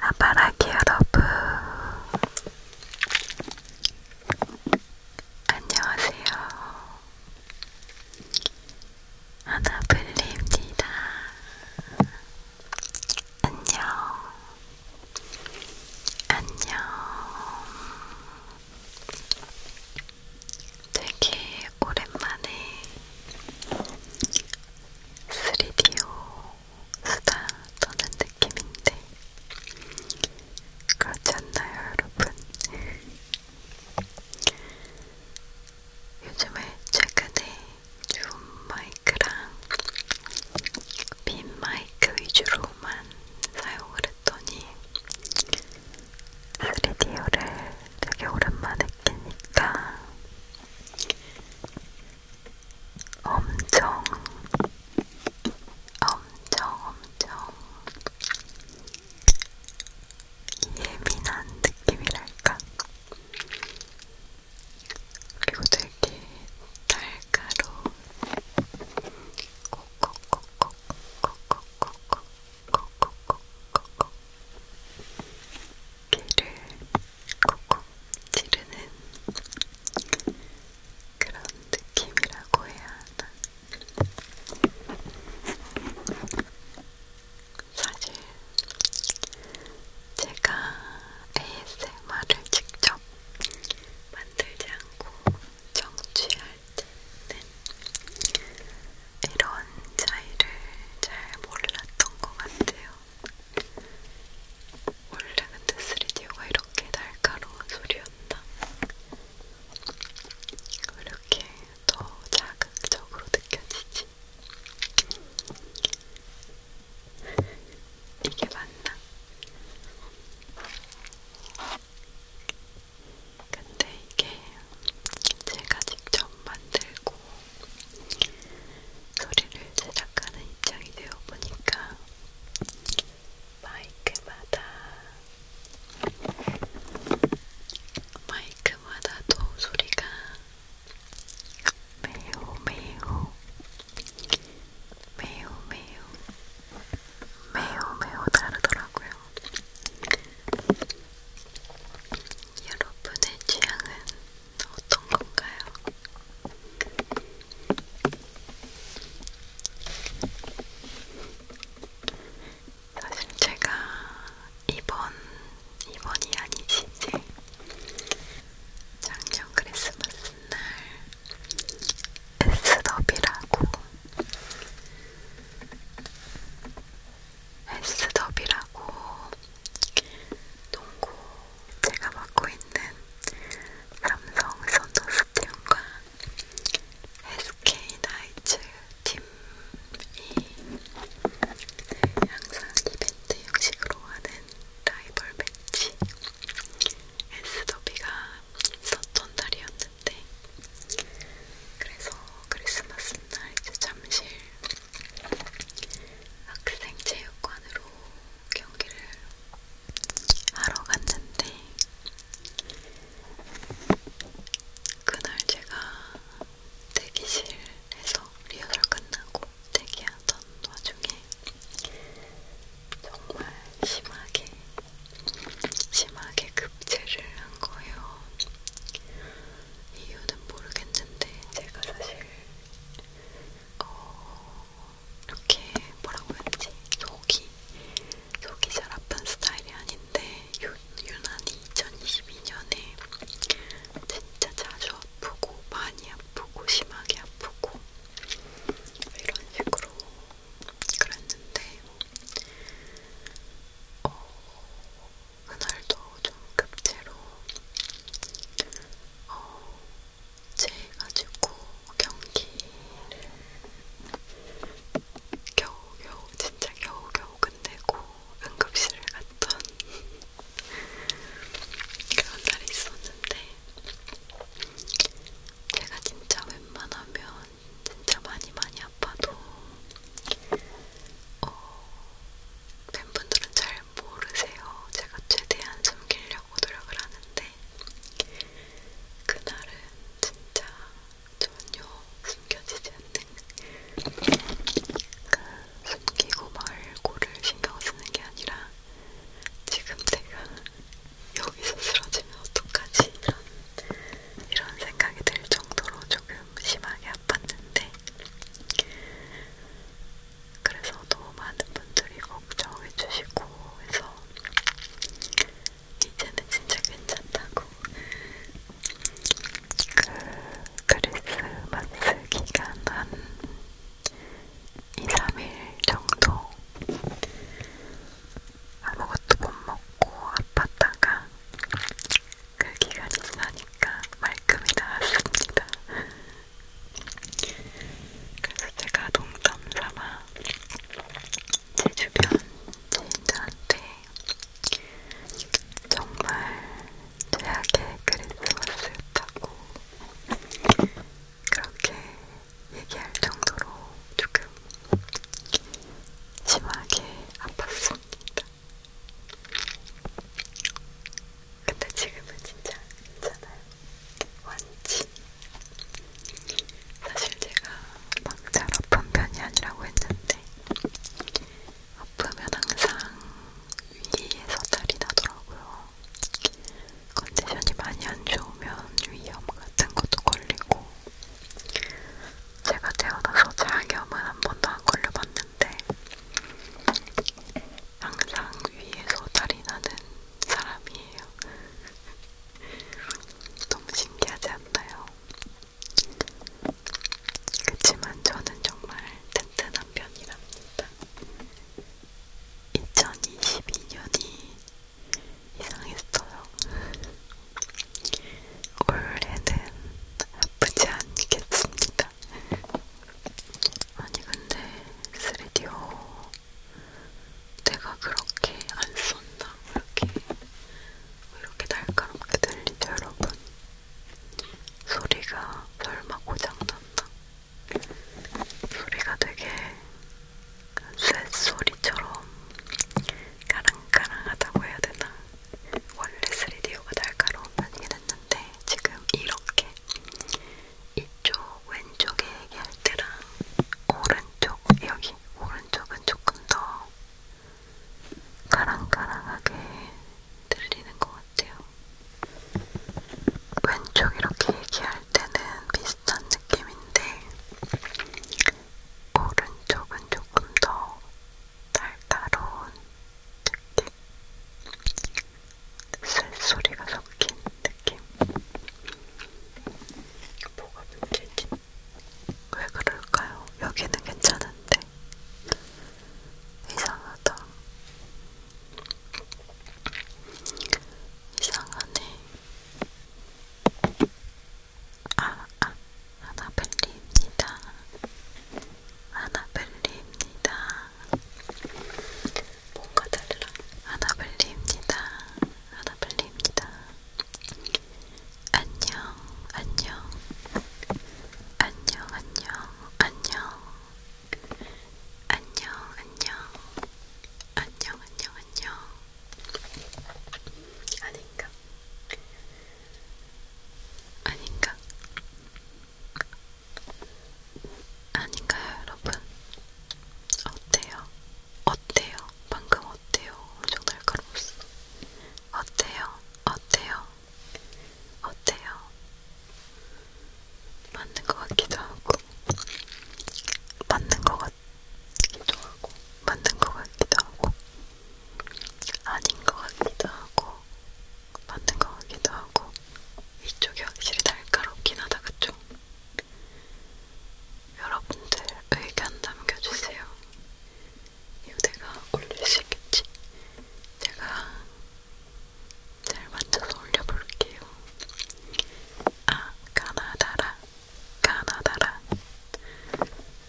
아바라기 여러분 안녕하세요 아나블리입니다 안녕 안녕 되게 오랜만에 3디오 수다 떠는 느낌인데 그렇지 않나요, 여러분? 요즘에 최근에 줌 마이크랑 빈 마이크 위주로만 사용을 했더니 3D를 되게 오랜만에 끼니까 엄청 엄청 엄청 예민한 느낌이랄까? 그리고 되게 달가로 콕콕콕콕콕콕콕콕콕콕콕콕 귀를 콕콕 찌르는 그런 느낌이라고 해야 하나. 사실 제가 ASMR을 직접 만들지 않고 정취할 때는 이런 차이를 잘 몰랐던 것 같아요. 원래 근데 3D가 이렇게 날카로운 소리였나? 왜 이렇게 더 자극적으로 느껴지지? 이게 맞나? 근데 이게 제가 직접 만들고 있고 소리를 제작하는 입장이 되어 보니까 마이크마다 마이크마다도 소리가 매우 매우 매우 매우 매우 매우 다르더라고요. 여러분의 취향은 어떤 건가요? 사실 제가 이번 이번이 아니지 이제 작년 크리스마스 날 에스더비라고 헬스더비라고 농구 제가 맡고 있는 삼성 선더스팀과 SK 나이츠 팀이 항상 이벤트 형식으로 하는 라이벌 매치 에스더비가 있었던 달이었는데 크리스마스 때. 그래서 크리스마스 날 이제 잠실 학생체육관으로 경기를 하러 갔는데 그날 제가 대기실에서 리허설 끝나고 대기하던 와중에 정말 심하게 심하게 급제를 한 거예요. 이유는 모르겠는데 제가 사실 어, 이렇게 뭐라고 했지? 속이 속이 잘 아픈 스타일이 아닌데 유, 유난히 2022년에 진짜 자주 아프고 많이 아프고 심하게 아프고 이런 식으로 그랬는데 어, 그날도 좀 급제로 어, 제가지고 경기를 겨우겨우 진짜 겨우겨우 끝내고 응급실을 갔던 그런 날이 있었는데 제가 진짜 웬만하면 진짜 많이 많이 아파도 어, 팬분들은 잘 모르세요. 제가 최대한 숨기려고 노력을 하는데 그날은 진짜 전혀 숨겨지지 않는 그 숨기고 말고를 신경 쓰는 게 아니라 지금 내가 여기서 쓰러지면 어떡하지? 이런, 이런 생각이 들 정도로 조금 심하게 아팠는데 그래서 너무 많은 분들이 걱정해주시고 해서 이제는 진짜 괜찮다고 그 크리스마스 기간 한 2, 3일 정도 아무것도 못 먹고 아팠다가 그 기간이 지나니까 말끔히 나았습니다. 그래서 제가 농담 삼아 제 주변 지인들한테 정말 최악의 크리스마스였다고 그렇게 얘기할 정도로 조금 심하게 아팠습니다. 근데 지금은 진짜 괜찮아요. 완치. 사실 제가 막 잘 아픈 편이 아니라고 했는데 아프면 항상 위에서 탈이 나더라고요. 컨디션이 많이 안 좋으면 위염 같은 것도 걸리고 제가 태어나서 장염은 한 번도 안 걸려봤는데 항상 위에서 달이 나는 사람이에요. 너무 신기하지 않나요? 그치만 저는 정말 튼튼한 편이랍니다. 2022년이 이상했어요. 원래는 아프지 않겠습니다. 아니 근데 3디오 내가 그렇게 안 썼나? 이렇게 왜 이렇게 날카롭게 들리죠 여러분? 소리가 설마 고장났나? 소리가 되게 쇳소리처럼 까랑까랑하다고 해야 되나? 원래 3D가 날카로운 편이긴 했는데 지금 이렇게 이쪽 왼쪽에 얘기할 때랑 오른쪽 여기 오른쪽은 조금 더 가랑가랑하게 들리는 것 같아요. 왼쪽 이렇게 얘기할 때는 비슷한 느낌인데 오른쪽은 조금 더 달달한 느낌 쓸소리가 섞인 느낌 뭐가 문제지? 왜 그럴까요? 여기는 괜찮은데 이상하다 이상하네. 아, 아, 아나벨리입니다. 아나벨리입니다. 뭔가 달라. 아나벨리입니다. 아나벨리입니다. 안녕, 안녕, 안녕, 안녕, 안녕, 안녕, 안녕, 안녕, 안녕, 안녕. 아닌가? 아닌가? 아닌가요, 여러분? 어때요? 어때요? 방금 어때요? 엄청 날카로웠어. 어때요? 어때요? 어때요? 맞는 것 같기도 하고 맞는 것 같기도 하고 맞는 것 같기도 하고 아닌 것 같기도 하고 맞는 것 같기도 하고 이쪽이 확실히 날카롭긴 하다 그쵸? 여러분들 의견 남겨주세요 이거 내가 올릴 수 있겠지? 내가 잘 맞춰서 올려볼게요. 아, 가나다라, 가나다라,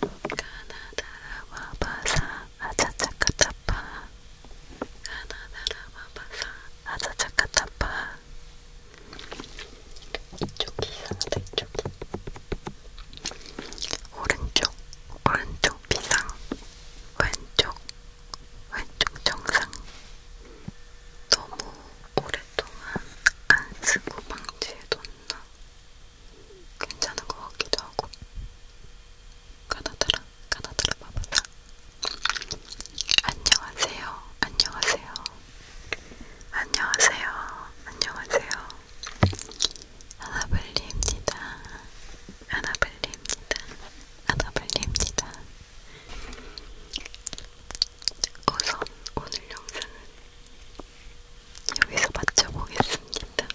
가나다라 와바사 아차차카차파, 가나다라 와바사 아차차카차파. 이쪽이 이상하다, 이쪽이. 오른쪽, 오른쪽 비상. 왼쪽, 왼쪽 정상 너무 오랫동안 안 쓰고 방치해뒀나 괜찮은 것 같기도 하고 가다들아, 가다들아 봐봐라 안녕하세요, 안녕하세요 안녕하세요, 안녕하세요 하나블리입니다 아나블리입니다. 아나블리입니다. 우선 오늘 영상은 여기서 마쳐보겠습니다.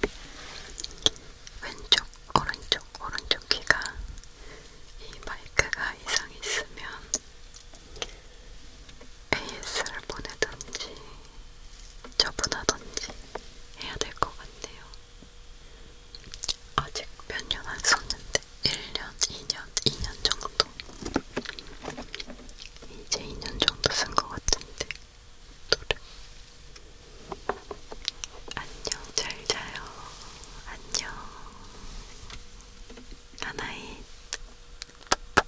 왼쪽, 오른쪽, 오른쪽 귀가 이 마이크가 이상이 있으면 AS를 보내든지 처분하던지 해야 될 것 같네요. 아직 몇 년 안 썼는데 1년, 2년, 2년 정도 이제 2년 정도 쓴 것 같은데 노래 안녕 잘 자요 안녕 하나의 아,